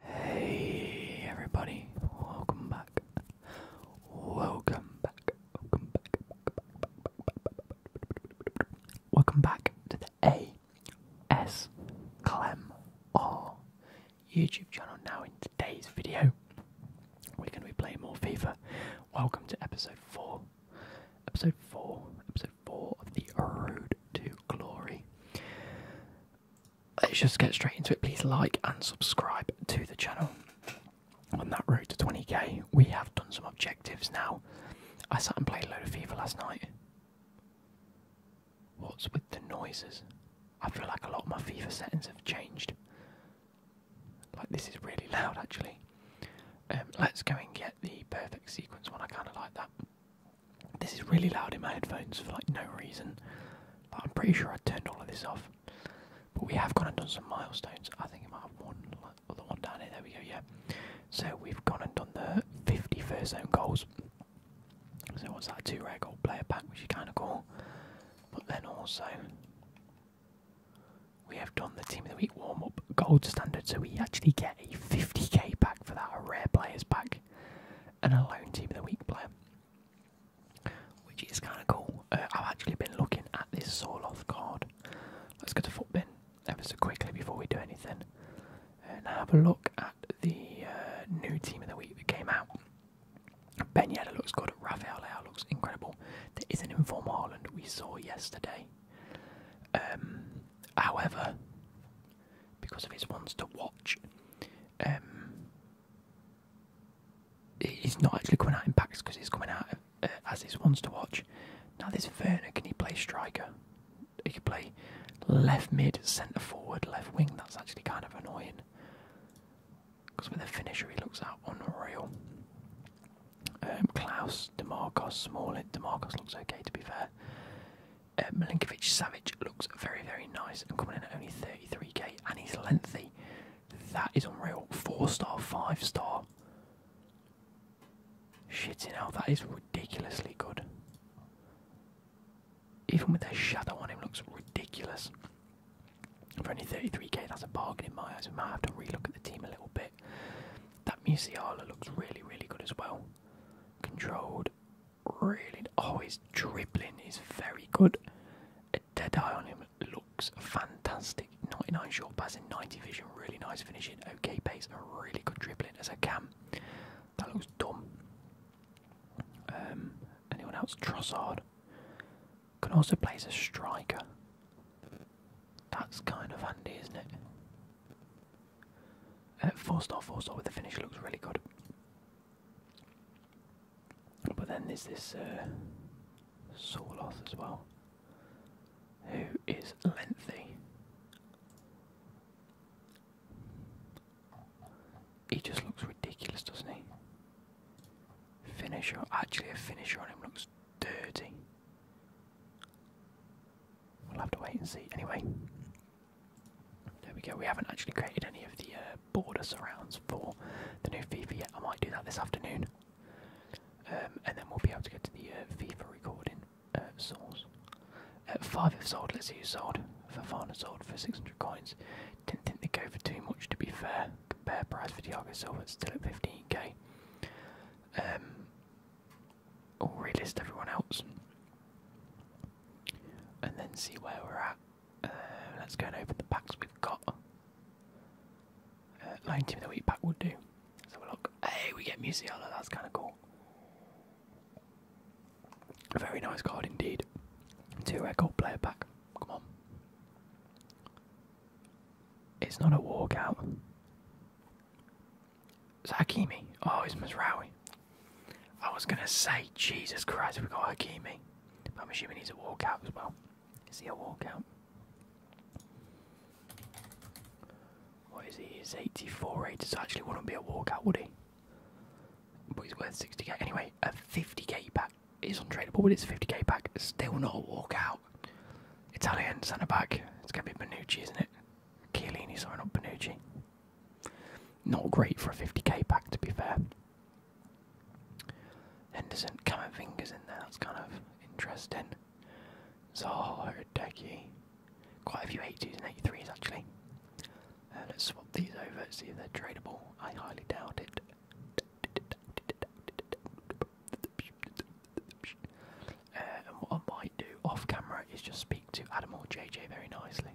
Hey everybody, welcome back. Welcome back. Welcome back. Welcome back to the A S Clem R YouTube channel. Now in today's video, we're gonna be playing more FIFA. Welcome to episode four. Episode four. Episode four of the Road to Glory let's just get straight into it. Please like and subscribe to the channel. On that road to 20k, we have done some objectives now. I sat and played a load of FIFA last night. What's with the noises? I feel like a lot of my FIFA settings have changed. Like this is really loud actually. Um, let's go and get the perfect sequence one. I kind of like that. This is really loud in my headphones for like no reason. but I'm pretty sure I turned all of this off. But we have gone and done some milestones. I think it might have one like, or one down here. There we go. Yeah. So we've gone and done the 50 first zone goals. So what's that? Two rare gold player pack, which is kind of cool. But then also we have done the team of the week warm up gold standard. So we actually get a 50k pack for that, a rare players pack, and a lone team of the week player which is kind of cool. Uh, I've actually been looking at this Soloth card. Let's go to Footbin ever so quickly before we do anything. And have a look at the uh, new team of the week that came out. Ben Yedder looks good. Rafael looks incredible. There is an informal Haaland we saw yesterday. Um, however, because of his ones to watch, he's um, not actually coming out in packs because he's coming out uh, as his ones to watch. Now this Werner, can he play striker? He can play left mid, centre forward, left wing. That's actually kind of annoying because with the finisher he looks out unreal. Um, Klaus, Demarcos, Smalling. Demarkos looks okay to be fair. Uh, Milinkovic Savage looks very, very nice and coming in at only 33k, and he's lengthy. That is unreal. Four star, five star. Shitting out, that is ridiculously good. Even with their shadow on him, looks ridiculous. For only 33k, that's a bargain in my eyes. We might have to relook at the team a little bit. That Musiala looks really, really good as well. Controlled, really. Oh, his dribbling is very good. A dead eye on him looks fantastic. 99 short passing, 90 vision, really nice finishing. Okay pace, a really good dribbling as a cam. That looks dumb. Um, anyone else? Trossard can also play as a striker. That's kind of handy, isn't it? Uh, four star, four star with the finish looks really good. But then there's this uh, Soloth as well, who is lengthy. He just looks ridiculous, doesn't he? Finisher, actually, a finisher on him looks dirty. We'll have to wait and see. Anyway, there we go. We haven't actually created any of the uh, border surrounds for the new FIFA yet. I might do that this afternoon, um, and then we'll be able to get to the uh, FIFA recording uh, source. Uh, five have sold. Let's see who sold. Fafana sold for 600 coins. Didn't think they go for too much, to be fair. Compare price for the Thiago Silva, still at 15k. Um, we relist everyone else, and then see where we're at. Uh, let's go and open the packs we've got. Uh, Lion Team the Week pack would do. Let's have a look. Hey, we get Musiala, that's kind of cool. A very nice card indeed. Two red gold player pack. Come on. It's not a walkout. It's Hakimi. Oh, it's Masrawi. I was gonna say, Jesus Christ, we got Hakimi. But I'm assuming he's a walkout as well. Is he a walkout? What is he? He's 84 rated, so actually wouldn't be a walkout, would he? But he's worth 60k. Anyway, a 50k pack is untradeable, but it's a 50k pack. Still not a walkout. Italian centre back. It's going to be Manucci, isn't it? Chiellini, sorry, not Manucci. Not great for a 50k pack, to be fair. Henderson, Cameron Fingers in there, that's kind of interesting. Zaha, Odeki. Quite a few eighties and 83s, actually. Uh, let's swap these over, see if they're tradeable. I highly doubt it. Uh, and what I might do off camera is just speak to Adam or JJ very nicely.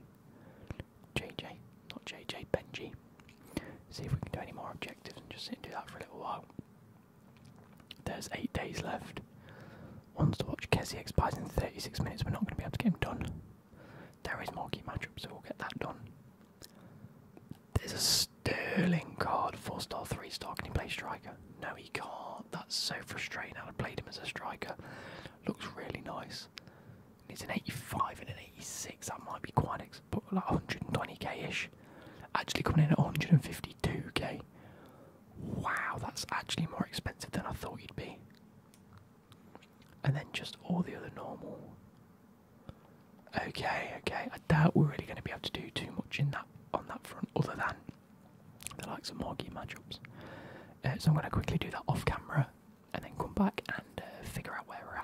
JJ, not JJ, Benji. See if we can do any more objectives and just sit and do that for a little while. There's eight days left. Wants to watch Kessie expires in 36 minutes. We're not going to be able to get him done. There is marquee matchup, so we'll get that done. There's a Sterling card, four star, three star. Can he play striker? No, he can't. That's so frustrating. How to play him as a striker. Looks really nice. It's an 85 and an 86. That might be quite ex like 120k ish. Actually coming in at 152k. Wow, that's actually more expensive than I thought you'd be. And then just all the other normal. Okay, okay. I doubt we're really going to be able to do too much in that on that front, other than the likes of Morgie matchups. Uh, so I'm going to quickly do that off camera, and then come back and uh, figure out where we're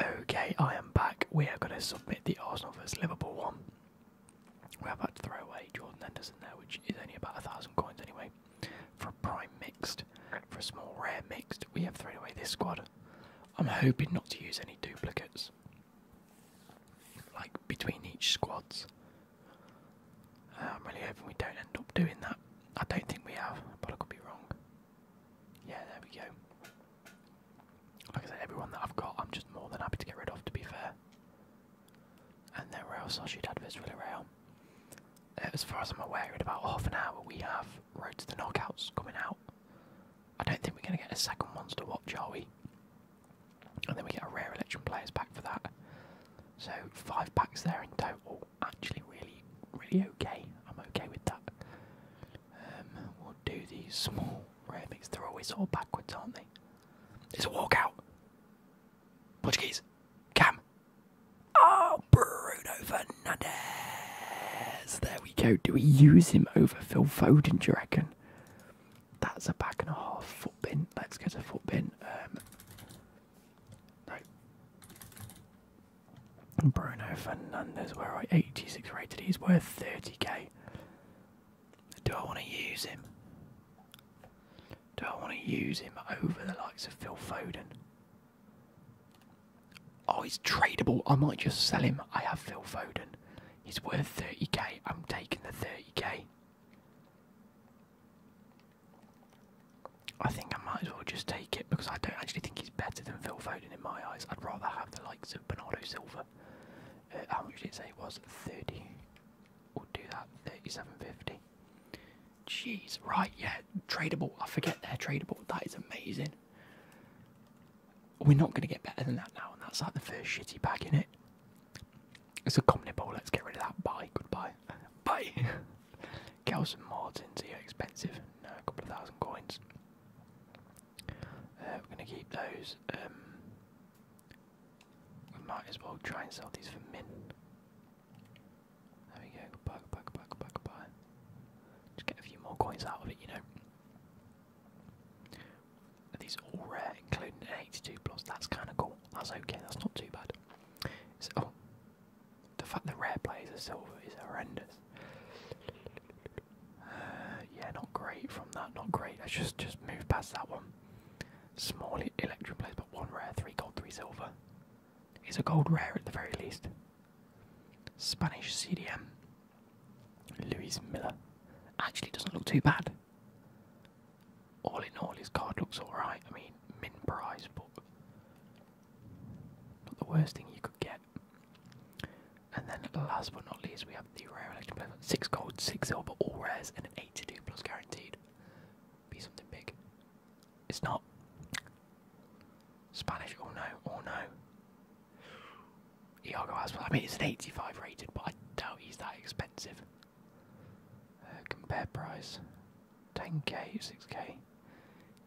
at. Okay, I am back. We are going to submit the Arsenal vs Liverpool one. We're about to throw away Jordan Henderson there, which is only about a thousand coins anyway. For a prime mixed, for a small rare mixed, we have thrown away this squad. I'm hoping not to use any duplicates, like between each squads. Uh, I'm really hoping we don't end up doing that. I don't think we have, but I could be wrong. Yeah, there we go. Like I said, everyone that I've got, I'm just more than happy to get rid of, to be fair. And then where else I should adverts really rail? Uh, as far as I'm aware, in about half an hour we have Road to the Knockouts coming out. I don't think we're going to get a second monster watch, are we? And then we get a rare election players back for that. So five packs there in total actually really, really okay. I'm okay with that. Um, we'll do these small rare mix. They're always all backwards, aren't they? It's a walkout. Portuguese. Cam. Oh, Bruno Fernandes. There we go. Do we use him over Phil Foden, do you reckon? That's a back and a half foot bin. Let's go to foot bin. Um, Bruno Fernandez, where I 86 rated, he's worth 30k. Do I want to use him? Do I want to use him over the likes of Phil Foden? Oh, he's tradable. I might just sell him. I have Phil Foden. He's worth 30k. I'm taking the 30k. I think I might as well just take it because I don't actually think he's better than Phil Foden in my eyes. I'd rather have the likes of Bernardo Silva. Uh, how much did it say it was? 30. We'll do that, 37.50. Jeez, right, yeah, tradable. I forget they're tradable. That is amazing. We're not going to get better than that now, and that's like the first shitty bag in it. It's a common ball. Let's get rid of that. Bye. Goodbye. Bye. Kelson Martins, are expensive? a couple of thousand coins. Uh, we're going to keep those. Um, we might as well try and sell these for min. There we go, goodbye, goodbye, goodbye, goodbye, goodbye. Just get a few more coins out of it, you know. Are these all rare, including an 82 plus? That's kind of cool. That's okay, that's not too bad. oh, the fact that rare players are silver is horrendous. Uh, yeah, not great from that. Not great. Let's just just move past that one. Small electrum players, but one rare, three gold, three silver. Is a gold rare at the very least. Spanish CDM. Luis Miller actually doesn't look too bad. All in all, his card looks alright. I mean, min prize, but not the worst thing you could get. And then last but not least, we have the rare election player. Six gold, six silver, all rares, and 82 plus guaranteed. Be something big. It's not. Spanish, Or oh no, Or oh no. Iago Aspas, I mean, it's an 85 rated, but I doubt he's that expensive. Uh, compare price. 10k, 6k.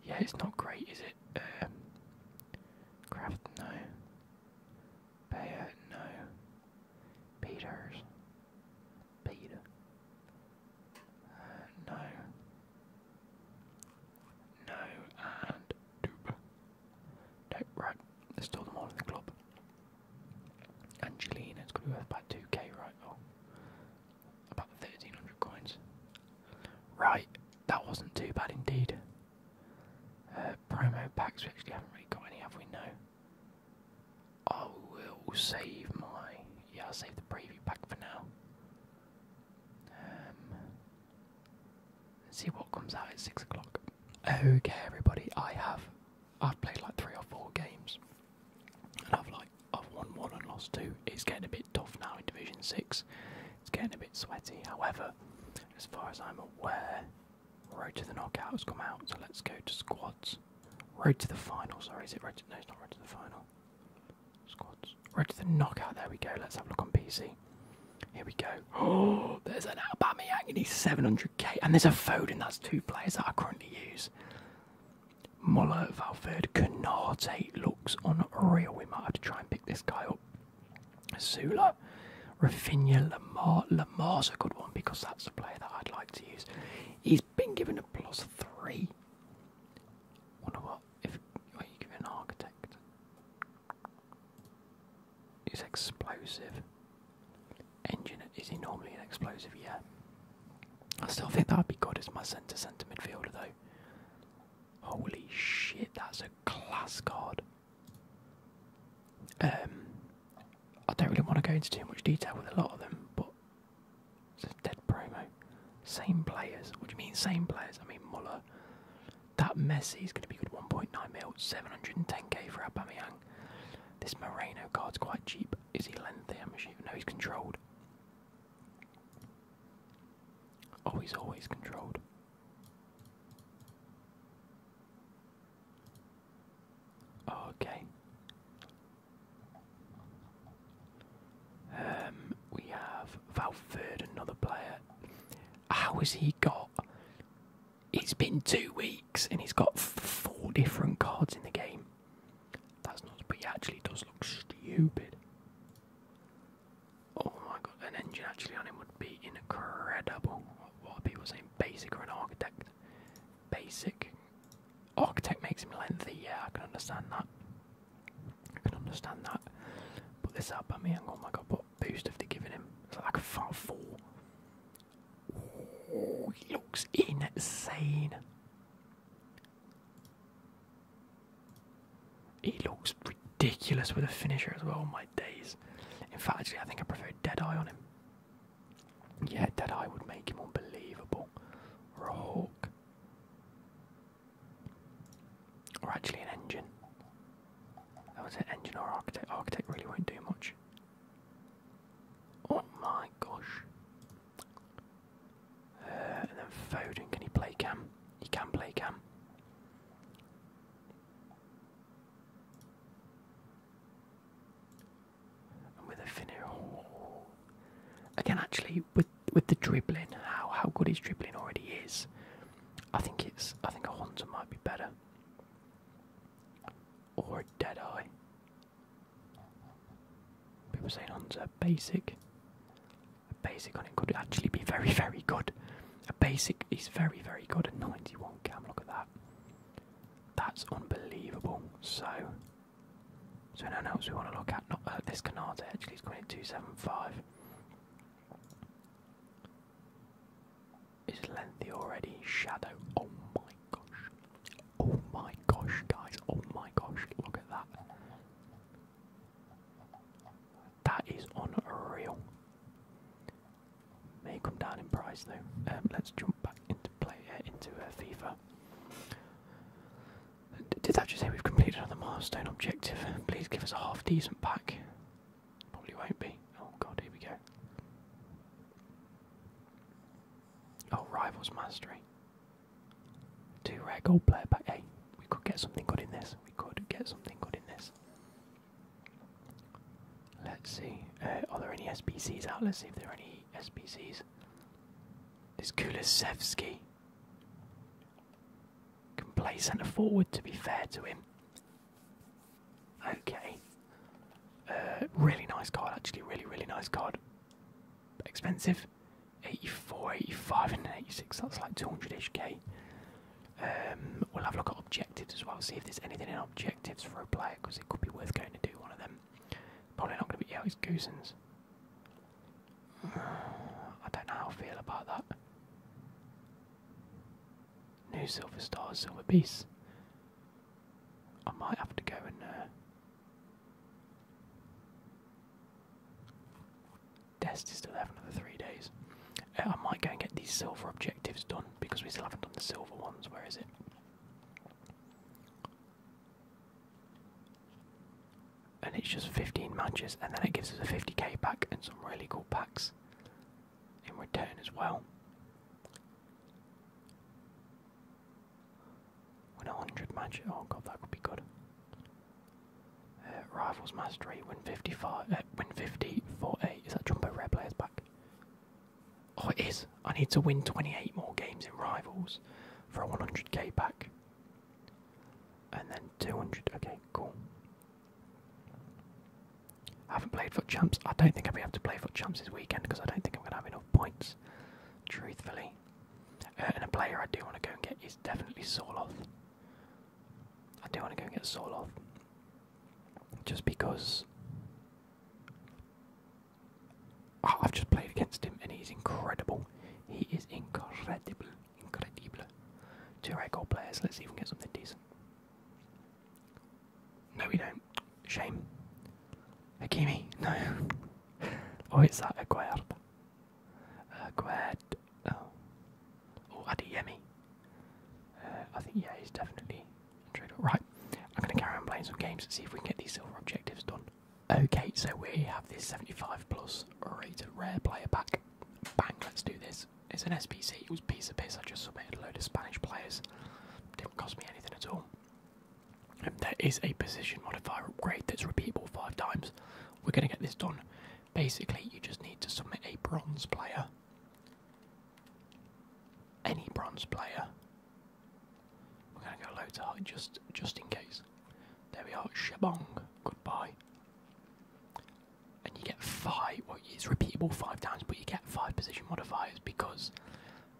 Yeah, it's not great, is it? Um, no. Bayer, no. Peters. Peter. Uh, no. No, and Duba. No, right. Let's store them all in the club. Angelina, it's going to be worth about 2k, right? Oh, about 1300 coins. Right, that wasn't too bad indeed. Uh, promo packs, we actually haven't really got any, have we? No. I will save my. Yeah, I'll save the preview pack for now. Um, see what comes out at 6 o'clock. Okay, everybody, I have. I've played like three or four games, and I've like I've won one and lost two. It's getting a bit tough now in Division 6. It's getting a bit sweaty. However, as far as I'm aware, Road to the Knockout has come out, so let's go to squads. Road to the final, sorry, is it Road to, No, it's not Road to the final. Squads. Road to the Knockout, there we go. Let's have a look on PC. Here we go. Oh, there's an Aubameyang and need 700k. And there's a Foden, that's two players that I currently use. Muller, Valverde, Canate looks on unreal. We might have to try and pick this guy up. Sula, Rafinha, Lamar. Lamar's a good one because that's a player that I'd like to use. He's been given a plus three. Wonder what if are you give an architect? He's explosive. Engine is he normally an explosive? Yeah. I still think that'd be good as my centre centre midfielder though. Holy shit, that's a class card. Um, I don't really want to go into too much detail with a lot of them, but it's a dead promo. Same players. What do you mean same players? I mean Muller. That is going to be good. 1.9 mil, 710k for Aubameyang. This Moreno card's quite cheap. Is he lengthy? I'm assuming. No, he's controlled. Oh, he's always controlled. Okay. Um, we have Valverde, another player. How has he got? It's been two weeks and he's got four different cards in the game. That's not, but he actually does look stupid. Oh my god, an engine actually on him would be incredible. What are people saying? Basic or an architect? Basic. Architect makes him lengthy, yeah, I can understand that. I can understand that. Put this up at me, and oh my god, what boost have they given him? It's like a far four. he looks insane. He looks ridiculous with a finisher as well. My days. In fact, actually, I think I prefer Deadeye on him. Yeah, eye would make him unbelievable. Or a hawk. Or actually an engine. That was an engine or architect. Architect really won't do much. Oh my gosh. Uh, and then Foden, can he play Cam? He can play Cam. And with a finish, oh. again, actually, with with the dribbling, how how good his dribbling already is. I think it's I think a Hunter might be better, or a Deadeye. People saying Honda basic. A basic on it could actually be very, very good. A basic is very, very good at 91 cam. Look at that. That's unbelievable. So, so no one we want to look at. Not uh, this Canate actually it's going at 275. Is lengthy already? Shadow. Oh my gosh. Oh my gosh, guys. Oh my gosh. Look at that. That is unreal. May come down in price though. Um, let's jump back into play uh, into uh, FIFA. did that just say we've completed another milestone objective? Please give us a half decent pack. Probably won't be. Oh god, here we go. Oh, Rivals Mastery. Two rare gold player but Hey, we could get something good in this. We could get something good in this. Let's see. Uh, are there any SPCs out? Let's see if there are any SPCs. This Kulisevsky can play centre forward, to be fair to him. Okay. Uh, really nice card, actually. Really, really nice card. Expensive. 84, 85, and 86. That's like 200ish k. Um, we'll have a look at objectives as well. See if there's anything in objectives for a player because it could be worth going to do one of them. Probably not going to be. Yeah, it's Goosens. I don't know how I feel about that. New Silver Star, Silver Beast. I might have to go and. Uh, Test is still having another three days. Uh, I might go and get these silver objectives done because we still haven't done the silver ones. Where is it? And it's just 15 matches, and then it gives us a 50k pack and some really cool packs in return as well. Win a 100 match. Oh god, that would be good rivals mastery win 55 uh, win 50 48 is that jumbo rare players back oh it is i need to win 28 more games in rivals for a 100k pack and then 200 okay cool haven't played foot champs i don't think i'll be able to play foot champs this weekend because i don't think i'm going to have enough points truthfully uh, and a player i do want to go and get is definitely soloth I do want to go and get Zoloft. Just because. I've just played against him and he's incredible. He is incredible. Incredible. Two right goal players. Let's even get something decent. No, we don't. Shame. Hakimi, no. oh, it's that Aguirre. Uh, Gued, oh, Adiyemi. Uh, I think yeah, he's definitely a trader. Right, I'm going to carry on playing some games and see if we can get these silver objectives done. Okay, so we have this 75 plus rated rare player back. Bang, let's do this. It's an SPC, it was piece of piss. I just submitted a load of Spanish players. Didn't cost me anything at all. Um, there is a position modifier upgrade that's repeatable five times. We're going to get this done Basically, you just need to submit a bronze player, any bronze player. We're gonna go low to high just just in case. There we are, shabong. Goodbye. And you get five. What is repeatable five times, but you get five position modifiers because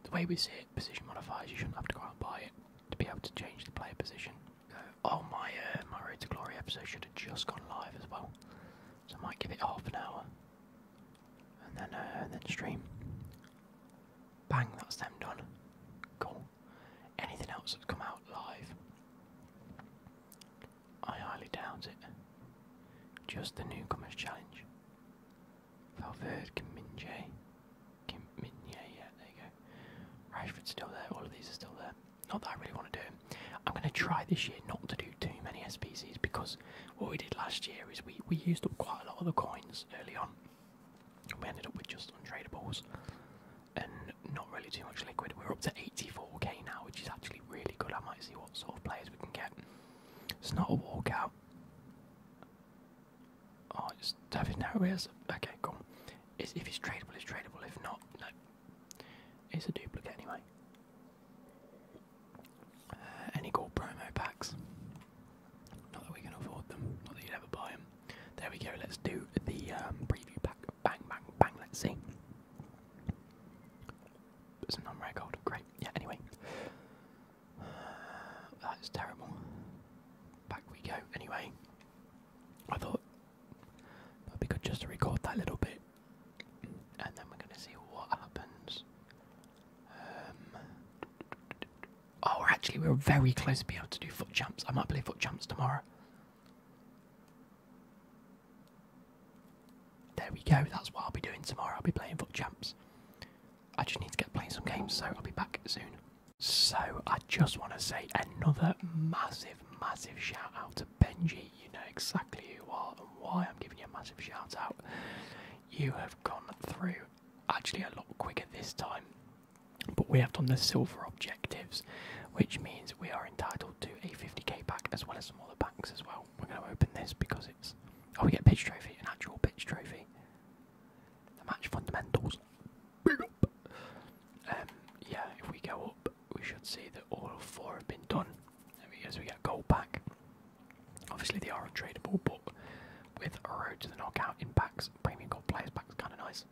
the way we see it, position modifiers, you shouldn't have to go out and buy it to be able to change the player position. Oh, my uh, my Road to Glory episode should have just gone live as well, so I might give it half an hour, and then uh, and then stream. Bang, that's them done. Cool. Anything else that's come out live? I highly doubt it. Just the newcomers challenge. Valverde, Kiminje, Kiminje, yeah, there you go. Rashford's still there. All of these are still there. Not that I really want to do. I'm going to try this year not to do too many SPCs because what we did last year is we, we used up quite a lot of the coins early on. We ended up with just untradables and not really too much liquid. We're up to 84k now, which is actually really good. I might see what sort of players we can get. It's not a walkout. Oh, it's David Narrows. Okay, cool if it's tradable, it's tradable. If not, no. It's a duplicate anyway. Uh, any gold promo packs? Not that we can afford them. Not that you'd ever buy them. There we go. Let's do the um, preview pack. Bang, bang, bang. Let's see. It's a non-rare gold. Great. Yeah. Anyway, that's terrible. Back we go. Anyway, I thought That'd be good just to record that little bit, and then we're gonna see what happens. Um, oh, actually we're very close to being able to do foot jumps. I might play foot jumps tomorrow. There we go. That's what I'll be doing tomorrow. I'll be playing foot jumps. I just need to get playing some games, so I'll be back soon. So I just want to say another massive, massive shout out to Benji. You know exactly who you are and why I'm giving you a massive shout out. You have gone through actually a lot quicker this time, but we have done the silver objectives, which means we are entitled to a 50k pack as well as smaller packs as well. We're going to open this because it's oh we get pitch trophy, an actual pitch trophy. The match fundamentals. Um, yeah, if we go up, we should see that all four have been done. There we we get gold back. Obviously they are tradable, but with a road to the knockout in packs, premium gold players packs kinda nice.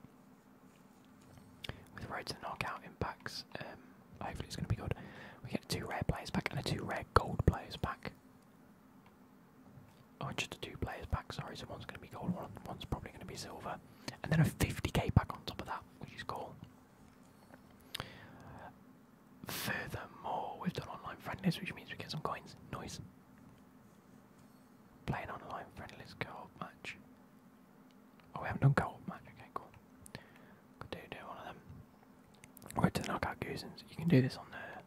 With a road to the knockout in packs, um, hopefully it's gonna be good. We get two rare players back and a two rare gold players back. Oh, just two players back. sorry, so one's gonna be gold, one one's probably gonna be silver and then a 50k pack on top of that, which is cool. Furthermore, we've done online friendlies, which means we get some coins. Nice. Playing online friendlies co-op match. Oh, we haven't done gold match. Okay, cool. Could do do one of them. Go to the knockout goosens. You can do this on there.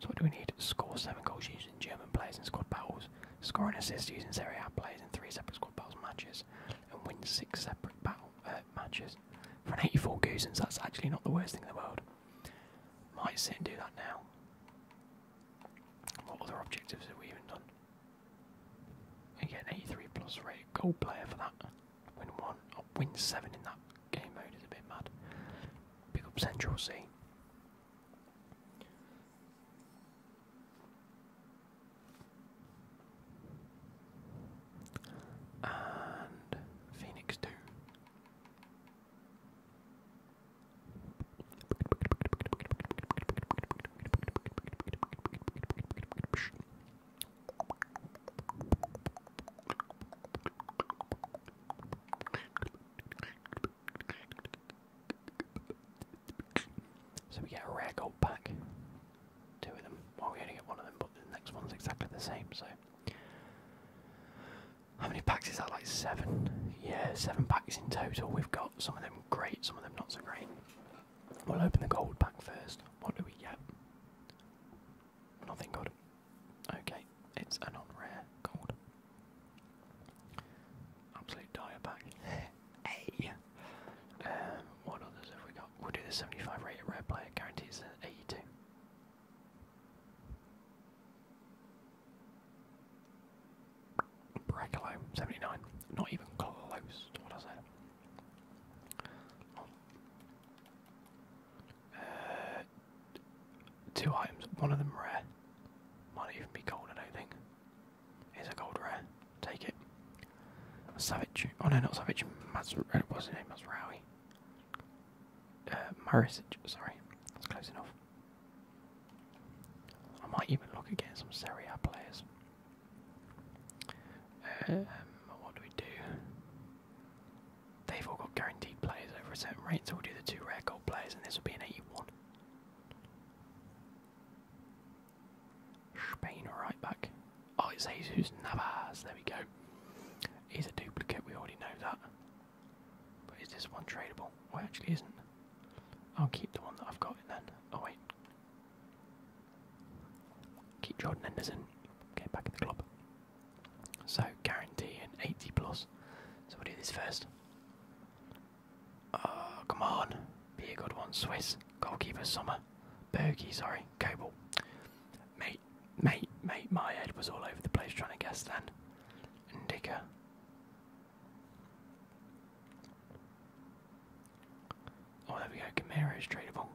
So what do we need? Score seven goals using German players in squad battles. Score and assist using Serie A players in three separate squad battles matches and win six separate battle uh, matches. For an 84 Goosens, that's actually not the worst thing in the world. Might sit and do that now. What other objectives have we even done? And 83 plus rate goal player for that. Win one, win seven in that game mode is a bit mad. Pick up Central C. And Phoenix two. So we get a rare gold pack. Two of them. Well, we only get one of them, but the next one's exactly the same, so. How many packs is that? Like seven? Yeah, seven packs in total. We've got some of them great, some of them not so great. We'll open the gold pack first. What do we get? Nothing good. Okay, it's a non rare gold. Absolute dire back. hey! Um, what others have we got? We'll do the 75 rated rare player, guarantees an 82. Brackalo, 79. Not even close to what I said. Uh, two items, one of them rare. Might even be gold, I don't think. It's a gold rare. Take it. Savage. Oh no, not Savage. Masr uh, what's his name? Masrawi. Uh, Marisic. Sorry. That's close enough. I might even look at some Serie A players. Um, what do we do? They've all got guaranteed players over a certain rate, so we'll do the two rare gold players, and this will be an 81. Spain right back. Oh, it's Jesus Navas. There we go. He's a duplicate. We already know that. But is this one tradable? Well, actually, isn't. I'll keep the one that I've got then. Oh wait. Keep Jordan Henderson. Get back in the club. So guarantee an 80 plus. So we'll do this first. Ah, come on. Be a good one, Swiss. Goalkeeper Summer. Bergie, sorry. Coble. Mate, mate, mate, my head was all over the place trying to guess then. Indica. Oh, there we go. Gamera is tradable.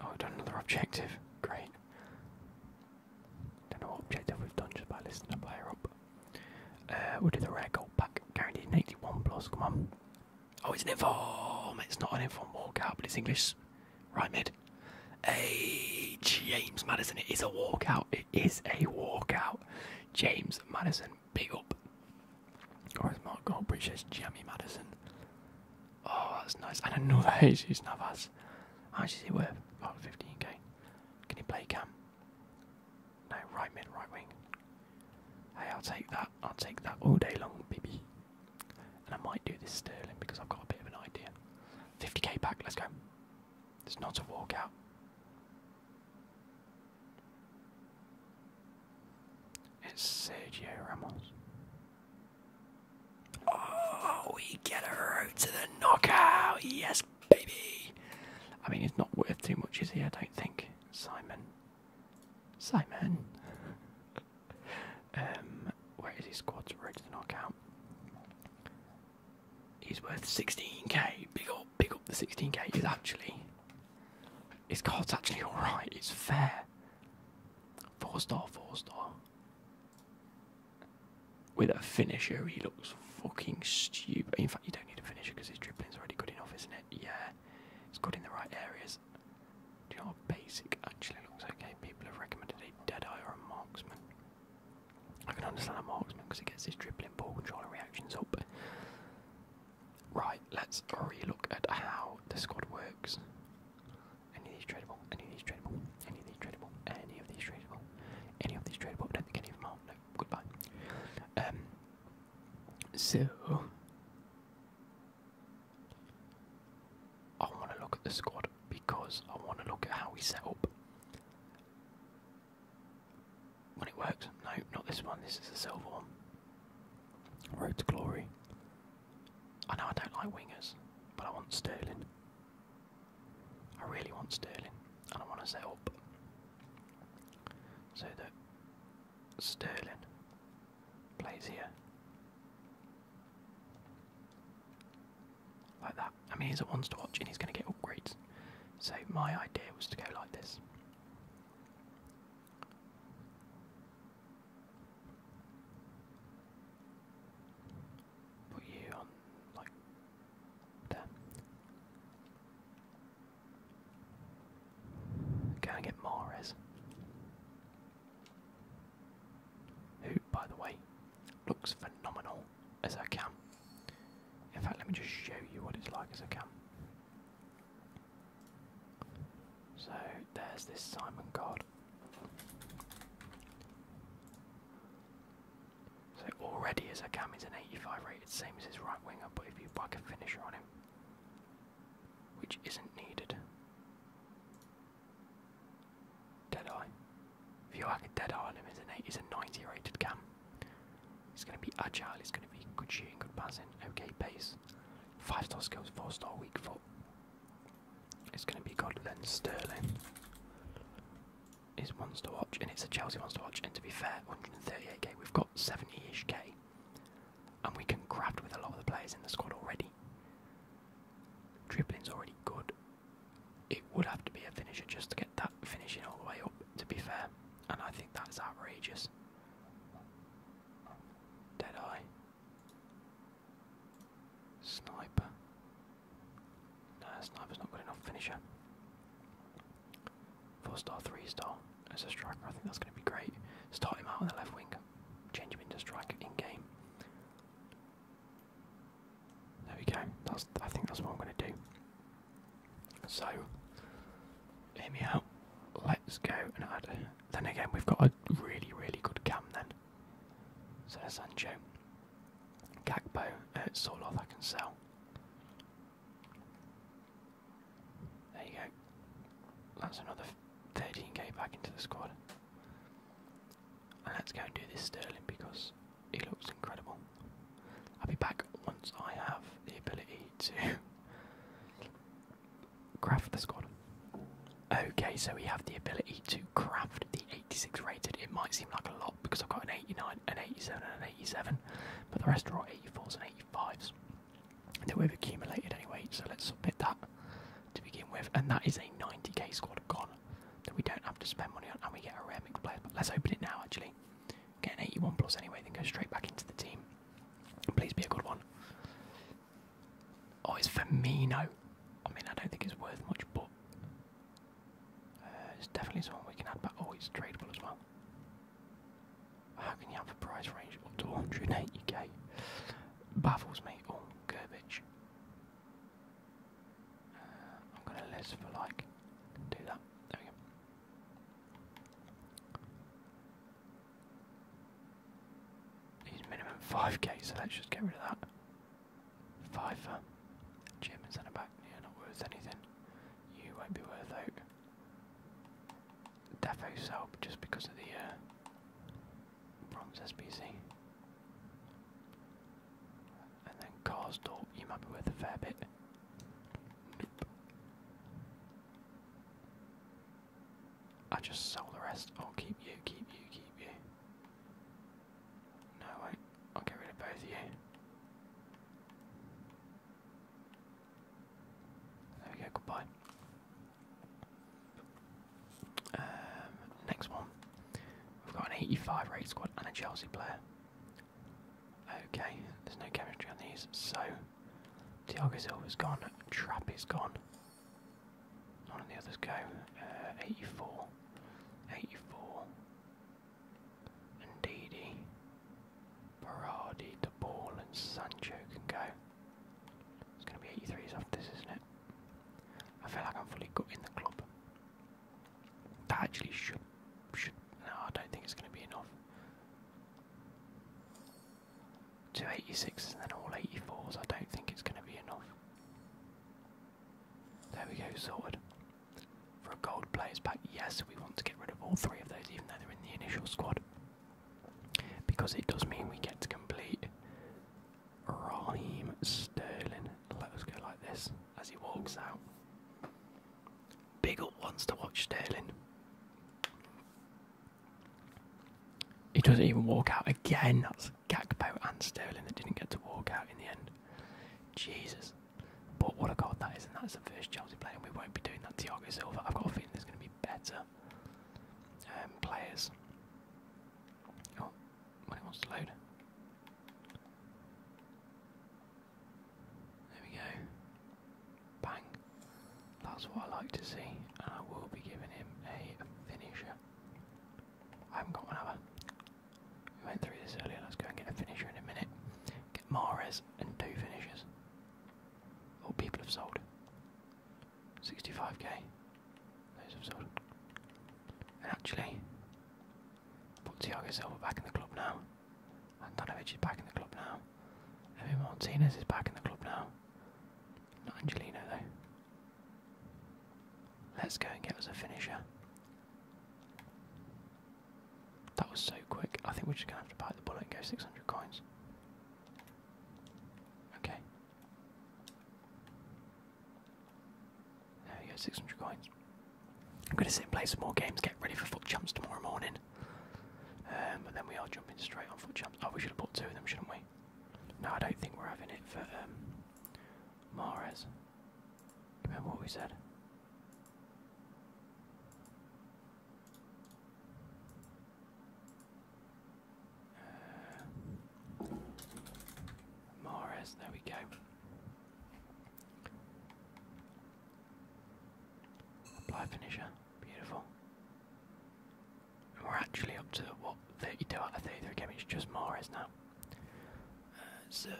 Oh, we've done another objective. Great. Don't know what objective we've done just by listing a player up. Uh, we'll do the rare gold pack, guaranteed 81 plus, come on. Oh, it's an inform! It's not an inform oh, walkout, but it's English. Right mid. Hey, James Madison, it is a walkout. It is a walkout. James Madison, big up. Or as Mark Goldbridge says, Jamie Madison. Oh, that's nice. And another Jesus Navas. How much is he worth? About 15k. Can you play cam? No, right mid, right wing. Hey, I'll take that. I'll take that all day long, baby. And I might do this Sterling because I've got a bit of an idea. 50k back, let's go. It's not a walkout. It's Sergio Ramos. Oh, we get a route to the knockout. Yes baby! I mean, he's not worth too much, is he? I don't think. Simon. Simon! um, where is his squad's ready to knock out? He's worth 16k. Big up, big up the 16k. Is actually. His card's actually alright. It's fair. Four star, four star. With a finisher, he looks fucking stupid. In fact, you don't need a finisher because his dribbling's already good enough, isn't it? Yeah, it's good in the right areas. Do you know what basic actually looks okay? People have recommended a Deadeye or a Marksman. I can understand a Marksman because it gets his dribbling, ball control, and reactions up. Right, let's re-look at how the squad works. Any of these tradable? Any of these tradable? Any of these tradable? Any of these tradable? any of these tradable. don't think any of them are. goodbye. Um, so, I want to look at the squad because I want to look at how we set up. When it works, no, not this one. This is the silver one. Road to glory. I know I don't like wingers, but I want Sterling. I really want Sterling, and I want to set up so that Sterling plays here. Like that. I mean, he's at ones to watch and he's going to get upgrades. So, my idea was to go like this put you on like there. Go and get Mares. Who, by the way, looks phenomenal as a cam. In fact, let me just show you what it's like as a cam. So there's this Simon God. So already his Akami's an 85 rated, same as his right winger, but if you bug a finisher on him, which isn't needed. Deadeye. If you hack a Deadeye on him, he's, an eight, he's a 90 rated cam. He's going to be agile, he's going to be good shooting, good passing, okay pace. 5 star skills, 4 star weak foot. It's going to be Godland Sterling is wants to watch, and it's a Chelsea wants to watch. And to be fair, 138k, we've got 70-ish k, and we can craft with a lot of the players in the squad already. Dribbling's already good. It would have to be a finisher just to get that finishing all the way up. To be fair, and I think that's outrageous. Dead eye. Sniper. Nah, sniper's not good enough. Finisher. Four star, three star as a striker. I think that's going to be great. Start him out on the left wing. Change him into striker in game. There we go. That's. I think that's what I'm going to do. So, hear me out. Let's go and add. Then again, we've got a really, really good cam then. So Sancho, Gakpo, uh, all off. I can sell. There you go. That's another 13k back into the squad. And let's go and do this Sterling because he looks incredible. I'll be back once I have the ability to craft the squad. Okay, so we have the ability to craft the 86 rated. It might seem like a lot because I've got an 89, an 87, and an 87, but the rest are all 84s and 85s that we've accumulated anyway. So let's submit that to begin with, and that is a 90k squad gone that we don't have to spend money on, and we get a rare mixed player. But let's open it now. Actually, get an 81 plus anyway, then go straight back into the team. Please be a good one. Oh, it's Firmino. I mean, I don't think it's worth much, but uh, it's definitely something we can add but Oh, it's tradable as well. How can you have a price range up to 180k? Baffles me. Oh, garbage. Uh, I'm going to list for like, do that. There we go. minimum 5k, so let's just get rid of that. Pfeiffer. and centre back, are not worth anything. You won't be worth it. Defo Selp just because of the uh, SBC. And then Karsdorp, you might be worth a fair bit. I just sell the rest. I'll keep you, keep you, keep you. No, wait, I'll get rid of both of you. There we goodbye. Um, next one. We've got an 85 rate squad and a Chelsea player. Okay, there's no chemistry on these, so Thiago Silva's gone, Trap is gone. None of the others go. Uh, 84. 84 and Didi, Berardi, De Ball and Sancho can go. It's going to be 83s after isn't it? I feel like I'm fully gutting the club. That actually should, should, no, I don't think it's going to be enough. Two and then all 84s, I don't think it's going to be enough. There we go, sorted. For a gold players pack, yes, we want to get rid of all three of those, even though they're in the initial squad. Because it does mean we get to complete Raheem Sterling. Let us go like this as he walks out. Big up wants to watch Sterling. He doesn't even walk out again. That's Gakpo and Sterling that didn't get to walk out in the end. Jesus. But what a goal that is, and that's the first Chelsea player, and we won't be doing that. Thiago Silva, I've got a feeling there's going to be better um, players. Oh, when it wants to load. There we go. Bang. That's what I like to see, and I will be giving him a finisher. I haven't got one, have we went through this earlier. Let's go and get a finisher in a minute. Get Mares and two finishers. All people have sold. 65k. Those have sold. And actually, put Thiago Silva back in the club now. Antonovic is back in the club now. Evan Martinez is back in the club now. Not Angelino though. Let's go and get us a finisher. That was so quick. I think we're just gonna have to bite the bullet and go 600 coins. Okay. There we go, 600 coins. I'm gonna sit and play some more games, get ready for foot champs tomorrow morning. Um, but then we are jumping straight on foot champs. Oh, we should have bought two of them, shouldn't we? No, I don't think we're having it for um, Mares. Remember what we said? Uh, there we go. Apply finisher, beautiful. we're actually up to what 32 out of 33 games, just Morris now. Uh, so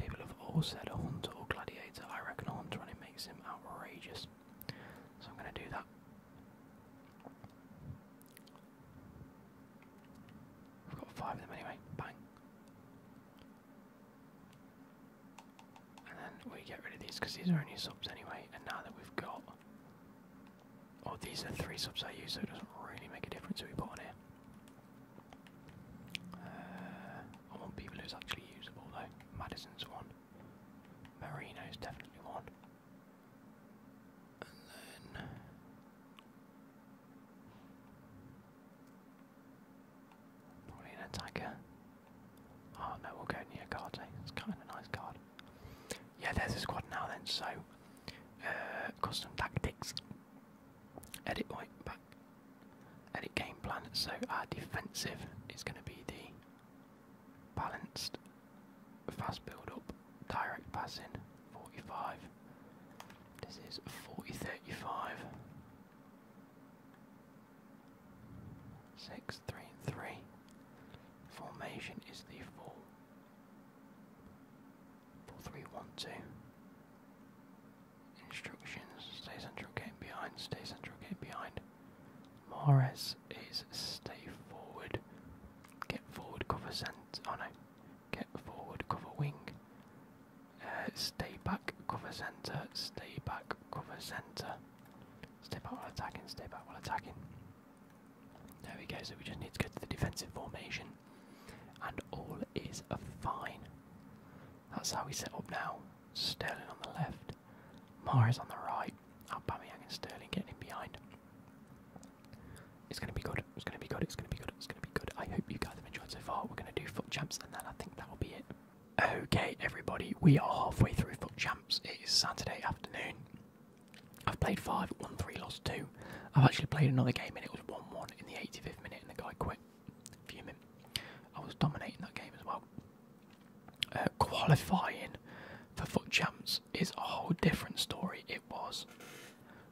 People have all said a hunter or gladiator. I reckon a hunter and it makes him outrageous. So I'm going to do that. I've got five of them anyway. Bang. And then we get rid of these because these are only subs anyway. And now that we've got. Oh, these are three subs I use, so it doesn't really make a difference who we put on here. Uh, I want people who's actually usable though. Madison's one. Marino's definitely one. And then probably an attacker. Oh no, we'll go near card. Eh? It's kind of a nice guard. Yeah, there's a squad now then. So, uh, custom tactics. Edit point back edit game plan. So our defensive is going to be the balanced, fast build up, direct passing, 45. This is 40 Formation is the 4 4312. Instructions. Stay central, get behind. Stay central, get behind. Mares is stay forward. Get forward, cover center. Oh no. Get forward, cover wing. Uh, stay back, cover center. Stay back, cover center. Stay back while attacking. Stay back while attacking. There we go. So we just need to go to the defensive formation and all is a fine. That's how we set up now. Sterling on the left, Mares on the right, Aubameyang and Sterling getting in behind. It's going to be good. It's going to be good. It's going to be good. It's going to be good. I hope you guys have enjoyed so far. We're going to do foot champs, and then I think that will be it. Okay, everybody, we are halfway through foot champs. It is Saturday afternoon. I've played five, won three, lost two. I've actually played another game, and it was one-one in the 85th minute, and the guy quit fuming. I was dominating that game as well. Uh, qualifying for foot champs is a whole different story. It was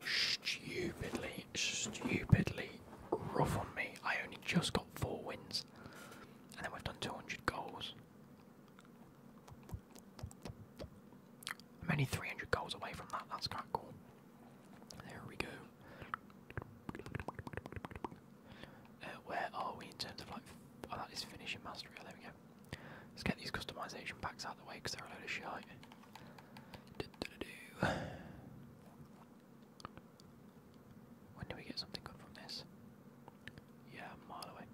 stupidly, stupidly rough on me. I only just got four wins, and then we've done 200 goals. I'm only 300 goals away from that. That's kind of cool. There we go. Uh, where are we in terms of like? Oh, that is finishing mastery. Oh, there we go. Let's get these customization packs out of the way because they're a load of shit. When do we get something good from this? Yeah, a mile away.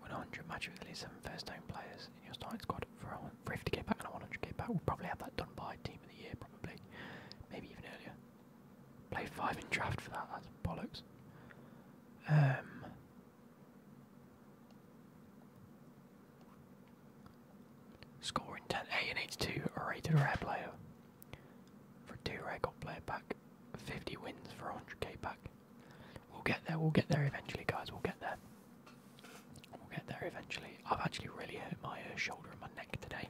100 match with at least seven first-time players in your starting squad for a 50 back and a 100k back. We'll probably have that done by team of the year, probably, maybe even earlier. Play five in draft for that. That's bollocks. Um, scoring 10 A and h rated rare player for two record player back. 50 wins for 100k back. We'll get there. We'll get there eventually, guys. We'll get there. We'll get there eventually. I've actually really hurt my uh, shoulder and my neck today.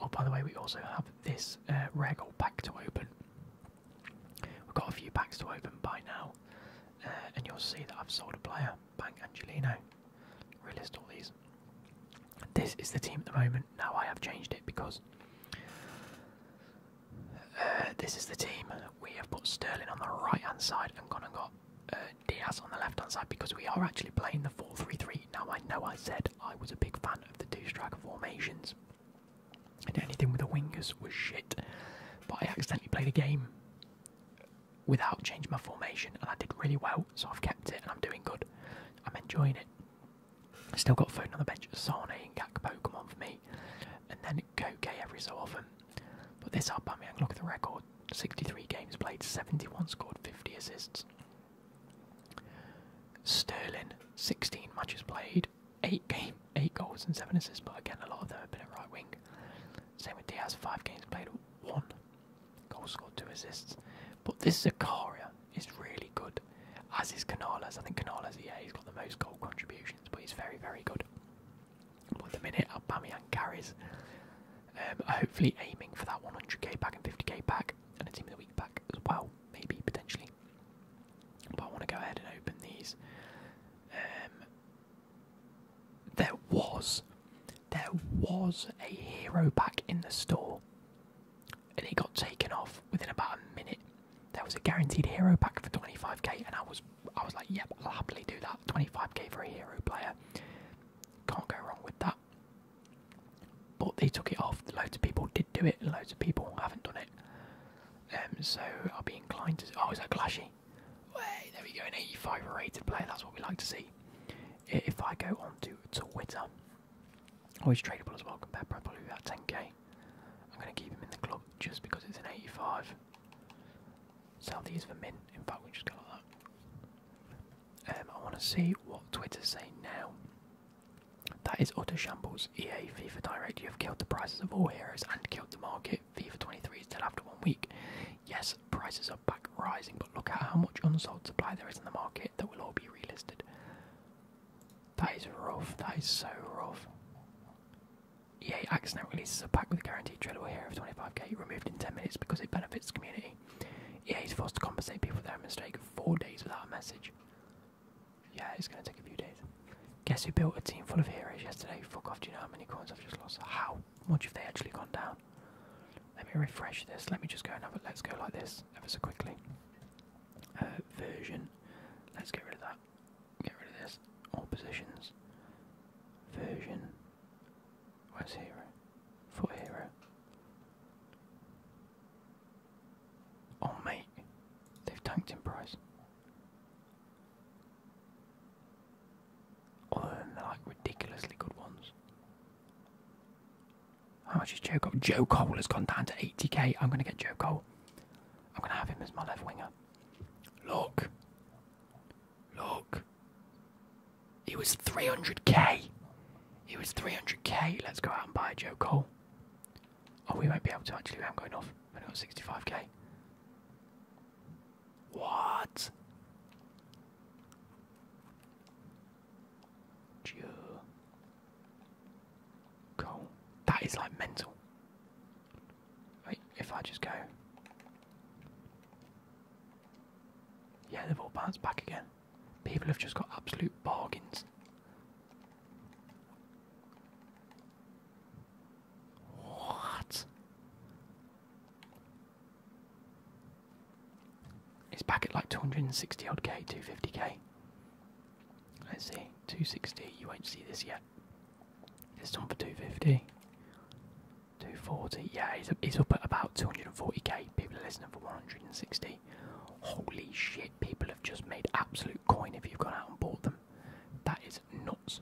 Oh, by the way, we also have this uh, regal pack to open. We've got a few packs to open by now, uh, and you'll see that I've sold a player, Bank Angelino. Relist all these. This is the team at the moment. Now I have changed it because this is the team. We have put Sterling on the right hand side and gone and got uh, Diaz on the left hand side because we are actually playing the 4 3 3. Now, I know I said I was a big fan of the two striker formations, anything with the wingers was shit, but I accidentally played a game without changing my formation, and I did really well, so I've kept it and I'm doing good. I'm enjoying it. Still got Foden on the bench, Sane and Gakpo come on for me, and then Koke every so often. But this Aubameyang, look at the record: 63 games played, 71 scored, 50 assists. Sterling, 16 matches played, eight game, eight goals and seven assists. But again, a lot of them have been at right wing. Same with Diaz, five games played, one goal scored, two assists. But this Zakaria is really good, as is Canales. I think Canales, yeah, he's got the most goal contributions, but he's very, very good. But the minute, Aubameyang carries. Um, hopefully aiming for that 100k back and 50k back, and a team of the week back as well, maybe, potentially. But I want to go ahead and open these. Um, there was, there was a hero pack in the store, and it got taken off within about a minute. There was a guaranteed hero pack for 25k, and I was I was like, yep, I'll happily do that. 25k for a hero player. Can't go wrong with that. But they took it off. Loads of people did do it, and loads of people haven't done it. Um, so I'll be inclined to. Oh, is that Clashy? there we go, an 85 rated player. That's what we like to see. If I go on to Twitter, always tradable as well. Compare probably about 10k. I'm going to keep him in the club just because it's an 85. Southeast for mint. In fact, we just go like that. Um, I want to see what Twitter's saying now. That is utter shambles. EA, FIFA Direct, you have killed the prices of all heroes and killed the market. FIFA 23 is dead after one week. Yes, prices are back rising, but look at how much unsold supply there is in the market that will all be relisted. That is rough. That is so rough. EA accidentally releases a pack with a guaranteed tradable Here of 25k removed in 10 minutes because it benefits the community. EA is forced to compensate people for their mistake four days without a message. Yeah, it's going to take a few days. Guess who built a team full of heroes yesterday? Fuck off, do you know how many coins I've just lost? How much have they actually gone down? Let me refresh this. Let me just go and let's go like this ever so quickly. Uh, version. Let's get rid of that. Get rid of this. All positions. Version. Where's Hero? For Hero. Oh mate, they've tanked in price. Other than like ridiculously good ones. How much is Joe Cole? Joe Cole has gone down to 80k. I'm gonna get Joe Cole. I'm gonna have him as my left winger. Look. Look. He was 300k. He was 300k. Let's go out and buy Joe Cole. Oh, we won't be able to actually. I'm going off. We've only got 65k. What? Joe Cole. That is like mental. Wait, if I just go. Yeah, they've all bounced back again. People have just got absolute bargains. What? It's back at like 260 odd K, 250K. Let's see, 260, you won't see this yet. It's on for 250. 240. Yeah, he's, he's up at about 240k. People are listening for 160. Holy shit, people have just made absolute coin if you've gone out and bought them. That is nuts.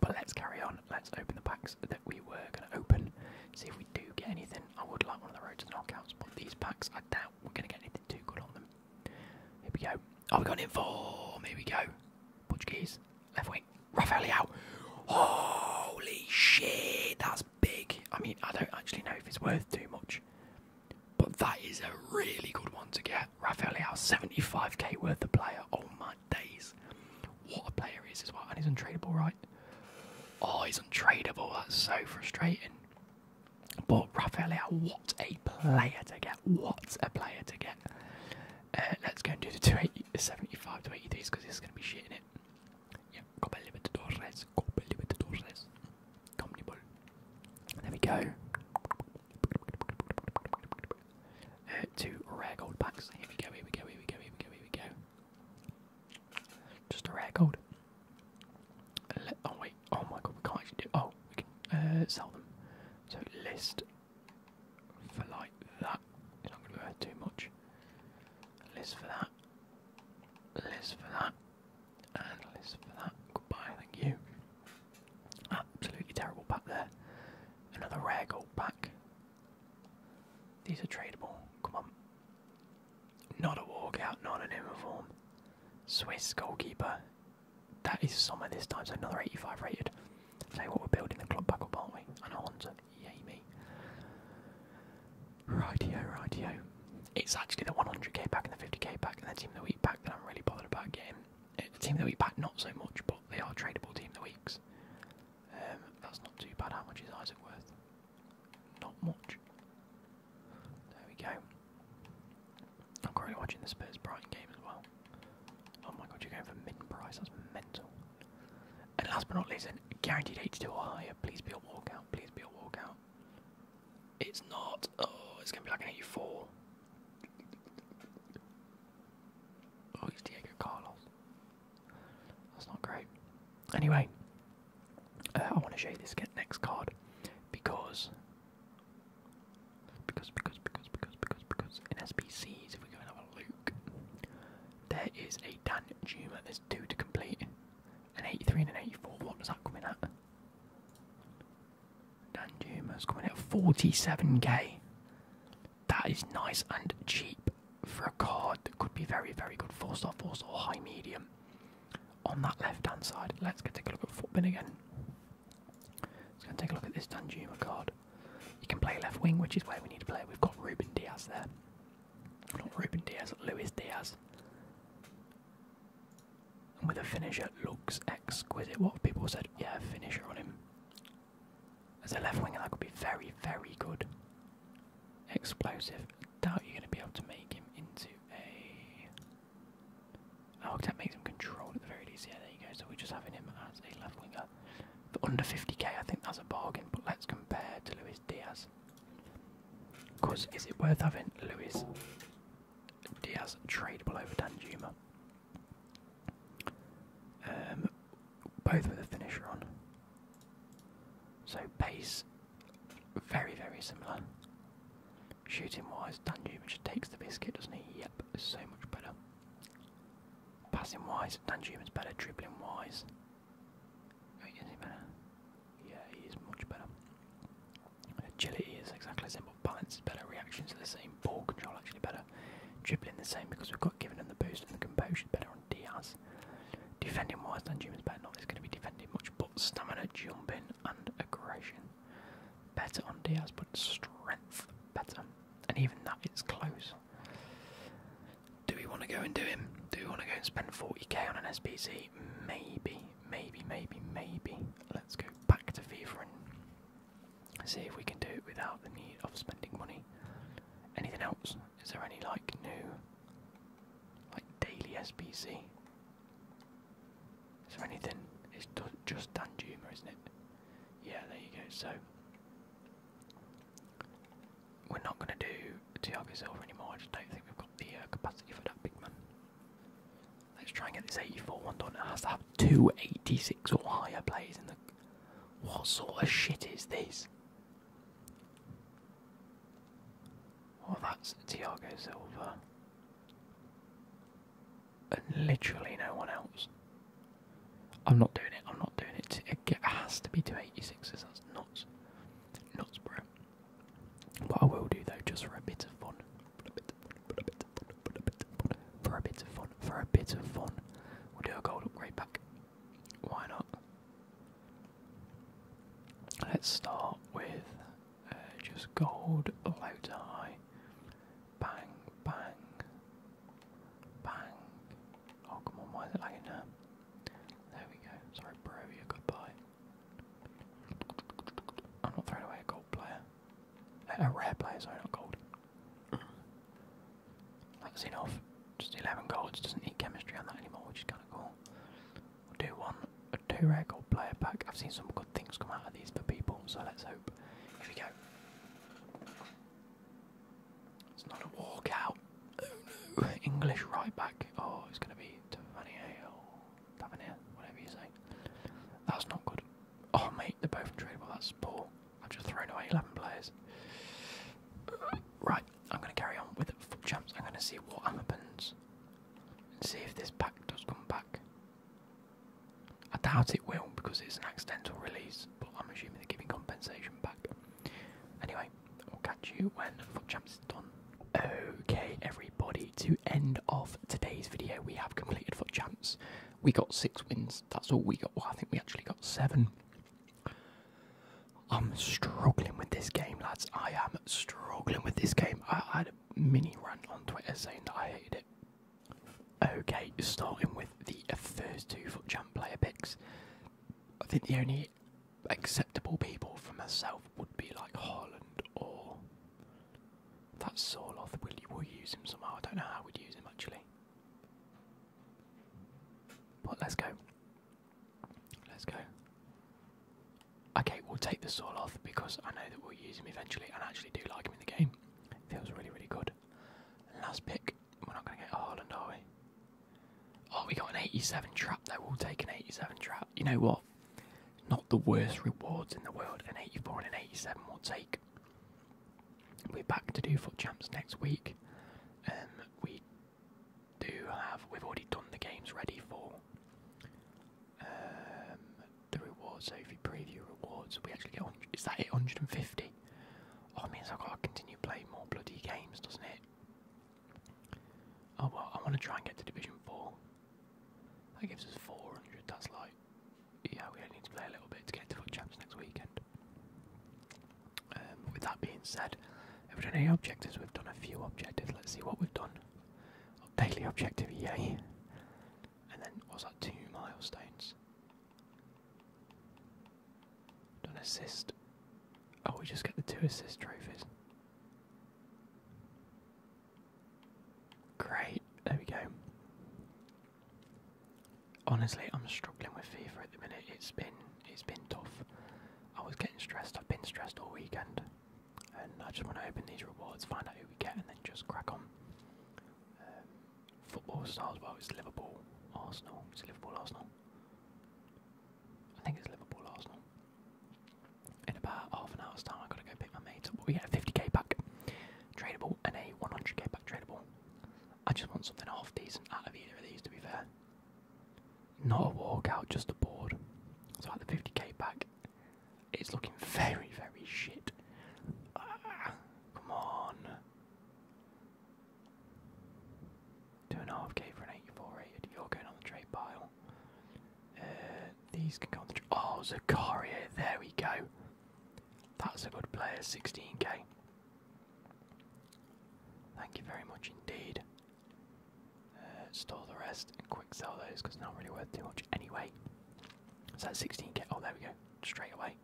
But let's carry on. Let's open the packs that we were going to open. See if we do get anything. I would like one of the road to knockouts, but these packs, I doubt we're going to get anything too good on them. Here we go. Are oh, we going in for? Here we go. Portuguese. Left wing. Rafael Holy shit, that's big. I mean, I don't actually know if it's worth too much. But that is a really good one to get. Rafael 75k worth of player. Oh my days. What a player he is as well. And he's untradeable, right? Oh, he's untradeable. That's so frustrating. But Rafael what a player to get. What a player to get. Uh, let's go and do the 280, 75 to 83s because this is going to be shit in it. Yeah, Copa Libertadores, Copa Libertadores, Comnibol. There we go. Uh, two rare gold packs. Here we go, here we go, here we go, here we go, here we go. Just a rare gold. Let, oh wait, oh my god, we can't actually do. Oh, we can uh, sell them. So list for like that. not going to go too much. List for that. List for that. list for that. Goodbye, thank you. Absolutely terrible pack there. Another rare gold pack. These are tradable. Come on. Not a walkout, not an uniform. Swiss goalkeeper. That is summer this time, so another 85 rated. Tell you what, we're building the club back up, aren't we? And Hunter, me. Rightio, rightio. It's actually the 100k pack and the 50k pack and the team of the week pack that I'm really bothered about getting. Eh, the team of the week pack, not so much, but they are tradable team of the weeks. Um, that's not too bad. How much is Isaac worth? Not much. There we go. I'm currently watching the Spurs Brighton game as well. Oh my god, you're going for mid price, that's mental. And last but not least, a guaranteed 82 or higher. Please be a walkout, please be a walkout. It's not. Oh, it's going to be like an 84. Oh, it's Diego Carlos. That's not great. Anyway, uh, I want to show you this next card because. Because, because, because, because, because, because in SBCs, if we go and have a look, there is a Dan Juma. There's two to complete. An 83 and an 84. What does that coming in at? Dan Juma's coming at 47k. That is nice and cheap for a card that could be very, very good. Four star, four star, high medium. On that left hand side, let's get take a look at Footbin again. Let's go take a look at this Dan Juma card. You can play left wing, which is where we need to play. We've got Ruben Diaz there. Not Ruben Diaz, Luis Diaz. And with a finisher, looks exquisite. What people said, yeah, finisher on him. As a left winger, that could be very, very good. Explosive. Doubt you're going to be able to make him into a. Oh, that makes him controlled at the very least. Yeah, there you go. So we're just having him as a left winger. For under 50k, I think that's a bargain, but let's compare to Luis Diaz. Because is it worth having Luis Diaz tradable over Dan Juma? Um, both with a finisher on. So pace, very, very similar. Shooting wise, Dan Juma takes the biscuit, doesn't he? Yep, so much better. Passing wise, is better. Dribbling wise, oh, Yeah, he is much better. Agility is exactly the same, balance is better. Reactions are the same. Ball control actually better. Dribbling the same because we've got given him the boost, and the composure better on Diaz. Defending wise, is better. Not that's going to be defending much, but stamina, jumping, and aggression better on Diaz, but strength better and even that is close. Do we want to go and do him? Do we want to go and spend 40k on an SPC? Maybe, maybe, maybe, maybe. Let's go back to FIFA and see if we can do it without the need of spending money. Anything else? Is there any like new, like daily SPC? Is there anything? It's just Dan Juma, isn't it? Yeah, there you go. So we're not going to do Thiago Silva anymore. I just don't think we've got the uh, capacity for that big man. Let's try and get this 84 one done. It has to have 286 or higher players in the. What sort of shit is this? Oh, that's Thiago Silva. And literally no one else. I'm not doing it. I'm not doing it. It has to be two 86s. That's nuts. Nuts, bro. What I will do though, just for a bit of fun, for a bit of fun, for a bit of fun, for a bit of fun, we'll do a gold upgrade pack. Why not? Let's start with uh, just gold, low to high, bang, bang. Bang. Oh, come on, why is it lagging now? There we go. Sorry, Barovia, goodbye. I'm not throwing away a gold player. A, a rare player, sorry, not gold. That's enough. Just 11 golds. doesn't need chemistry on that anymore, which is kind of cool. We'll do one, a two rare gold player back. I've seen some good things come out of these for people, so let's hope. Here we go. It's not a walkout. Oh no. English right back. Oh, it's going to be Tavernier or Tavernier, whatever you say. That's not good. Oh, mate, they're both Well, That's poor. I've just thrown away 11 players. Right, I'm going to carry on with foot champs. I'm going to see what happens and see if this pack does come back. I doubt it will because it's an accidental release, but I'm assuming they're giving compensation back. Anyway, I'll catch you when Foot Champs is done. Okay, everybody, to end of today's video, we have completed Foot jumps. We got six wins. That's all we got. I think we actually got seven. I'm struggling with this game, lads. I am struggling with this game. I, had a mini rant on Twitter saying that I hated it. Okay, starting with the first two Foot Champs player picks. I think the only acceptable people for myself would be like Holland or that Sorloth. Will you will use him somehow? I don't know how we'd use him actually. But let's go. Let's go. Okay, we'll take the Sorloth because I know that we'll use him eventually and actually do like him in the game. Feels really, really good. last pick we're not going to get Haaland, are we? Oh, we got an 87 trap though. We'll take an 87 trap. You know what? Not the worst rewards in the world. An 84 and an 87 will take. We're back to do foot champs next week. Um, we do have. We've already done the games ready for um, the rewards. So if you preview rewards, we actually get. Is that 850? Oh, it means I've got to continue playing more bloody games, doesn't it? Oh well, I want to try and get to Division 4. That gives us 400, that's like... Yeah, we only need to play a little bit to get to foot champs next weekend. Um, with that being said, have we done any objectives? We've done a few objectives. Let's see what we've done. Oh, daily objective, yay! And then, what's that, two milestones? Done assist. Oh, we just get the two assist trophies. Great, there we go. Honestly, I'm struggling with FIFA at the minute. It's been it's been tough. I was getting stressed. I've been stressed all weekend, and I just want to open these rewards, find out who we get, and then just crack on. Um, football stars. Well, it's Liverpool, Arsenal. It's Liverpool, Arsenal. I think it's Liverpool Arsenal. In about half an hour's time, I've got to go pick my mate up. We get a 50k back tradable and a 100k back tradable. I just want something half decent out of either of these, to be fair. Not a walkout, just a board. So at the 50k back, it's looking very, very shit. Ah, come on. Two and a half K for an 84 rated. You're going on the trade pile. Uh, these can go on the trade. Oh, Zakaria. There we go. That's a good player. 16K. Thank you very much indeed. Uh, store the rest and quick sell those because they're not really worth too much anyway. So that's 16K. Oh, there we go. Straight away.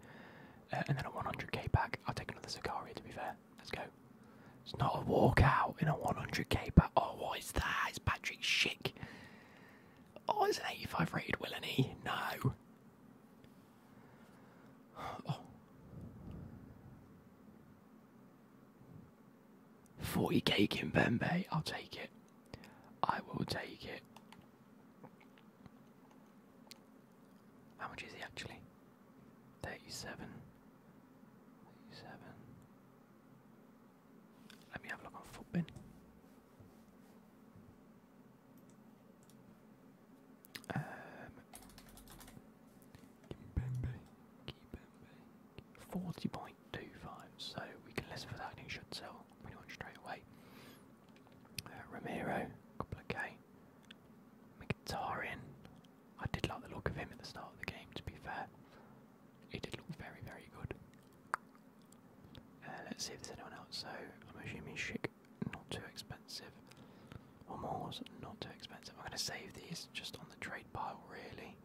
Uh, and then a 100K pack. I'll take another Zakaria to be fair. Let's go. It's not a walkout in a 100k but Oh, what is that? It's Patrick Schick. Oh, it's an 85 rated Willany. Eh? No. 40k in Kimbembe. I'll take it. I will take it. How much is he actually? 37. 37. Let me have a look on Footbin. Um, 40.25, so we can listen for that and it should sell pretty much straight away. Uh, Ramiro, couple of K, Mkhitaryan. I did like the look of him at the start of the game, to be fair. He did look very, very good. Uh, let's see if there's anyone else. So, I'm assuming Shik not too expensive. Or Moore's, not too expensive. I'm going to save these just on the trade pile, really.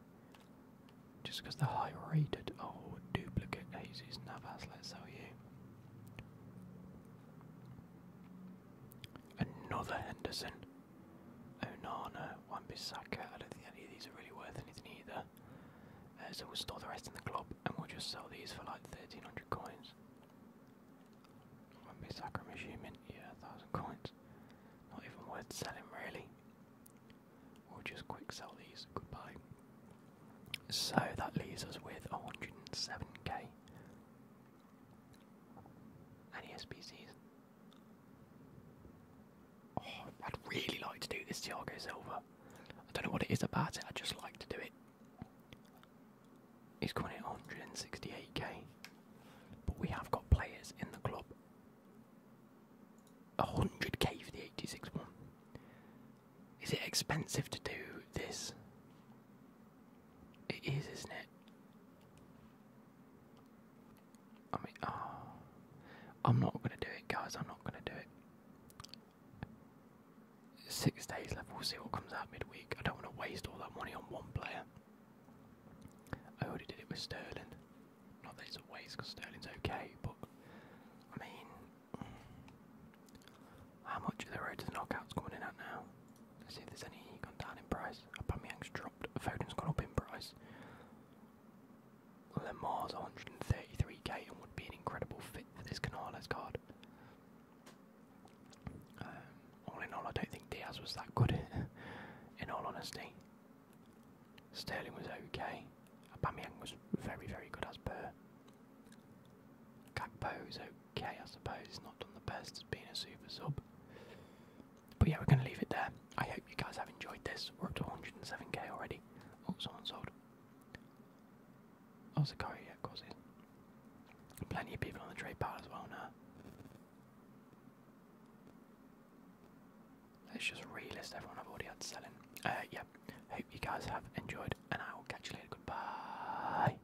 Just because they're high rated. Oh, duplicate Jesus Navas, let's sell you. Another Henderson. One Wan-Bissaka. I don't think any of these are really worth anything either. Uh, so we'll store the rest in the club and we'll just sell these for like 1300 coins. Wan-Bissaka, I'm assuming. Yeah, 1000 coins. Not even worth selling really. We'll just quick sell these. Goodbye. So that leaves us with 107k. Any SBCs? Oh, I'd really like to do this Thiago Silva. I don't know what it is about it, I just like to do it. He's coming in 168k. But we have got players in the club. 100k for the 86 one. Is it expensive to do this? It is, isn't it? I mean, oh, I'm not gonna do it, guys. I'm not gonna do it. Six days left. We'll see what comes out midweek. I don't want to waste all that money on one player. I already did it with Sterling. Not that it's a waste, because Sterling's okay, but I mean, how much are the knockouts coming in now? Let's see if there's any gone down in price. Aubameyang's dropped. Foden's gone up in price. Lamar's 133k and would be an incredible fit for this Canales card. Um, all in all, I don't think Diaz was that good. in all honesty, Sterling was okay. Aubameyang was very, very good as per. Gakpo is okay, I suppose. Not done the best as being a super sub. But yeah, we're going to leave it there. I hope you guys have enjoyed this. We're up to 107k already. Oh, someone sold. Oh, Zakari, yeah, of course it is. Plenty of people on the trade pile as well now. Let's just relist everyone I've already had selling. Uh, yeah, hope you guys have enjoyed, and I will catch you later. Goodbye.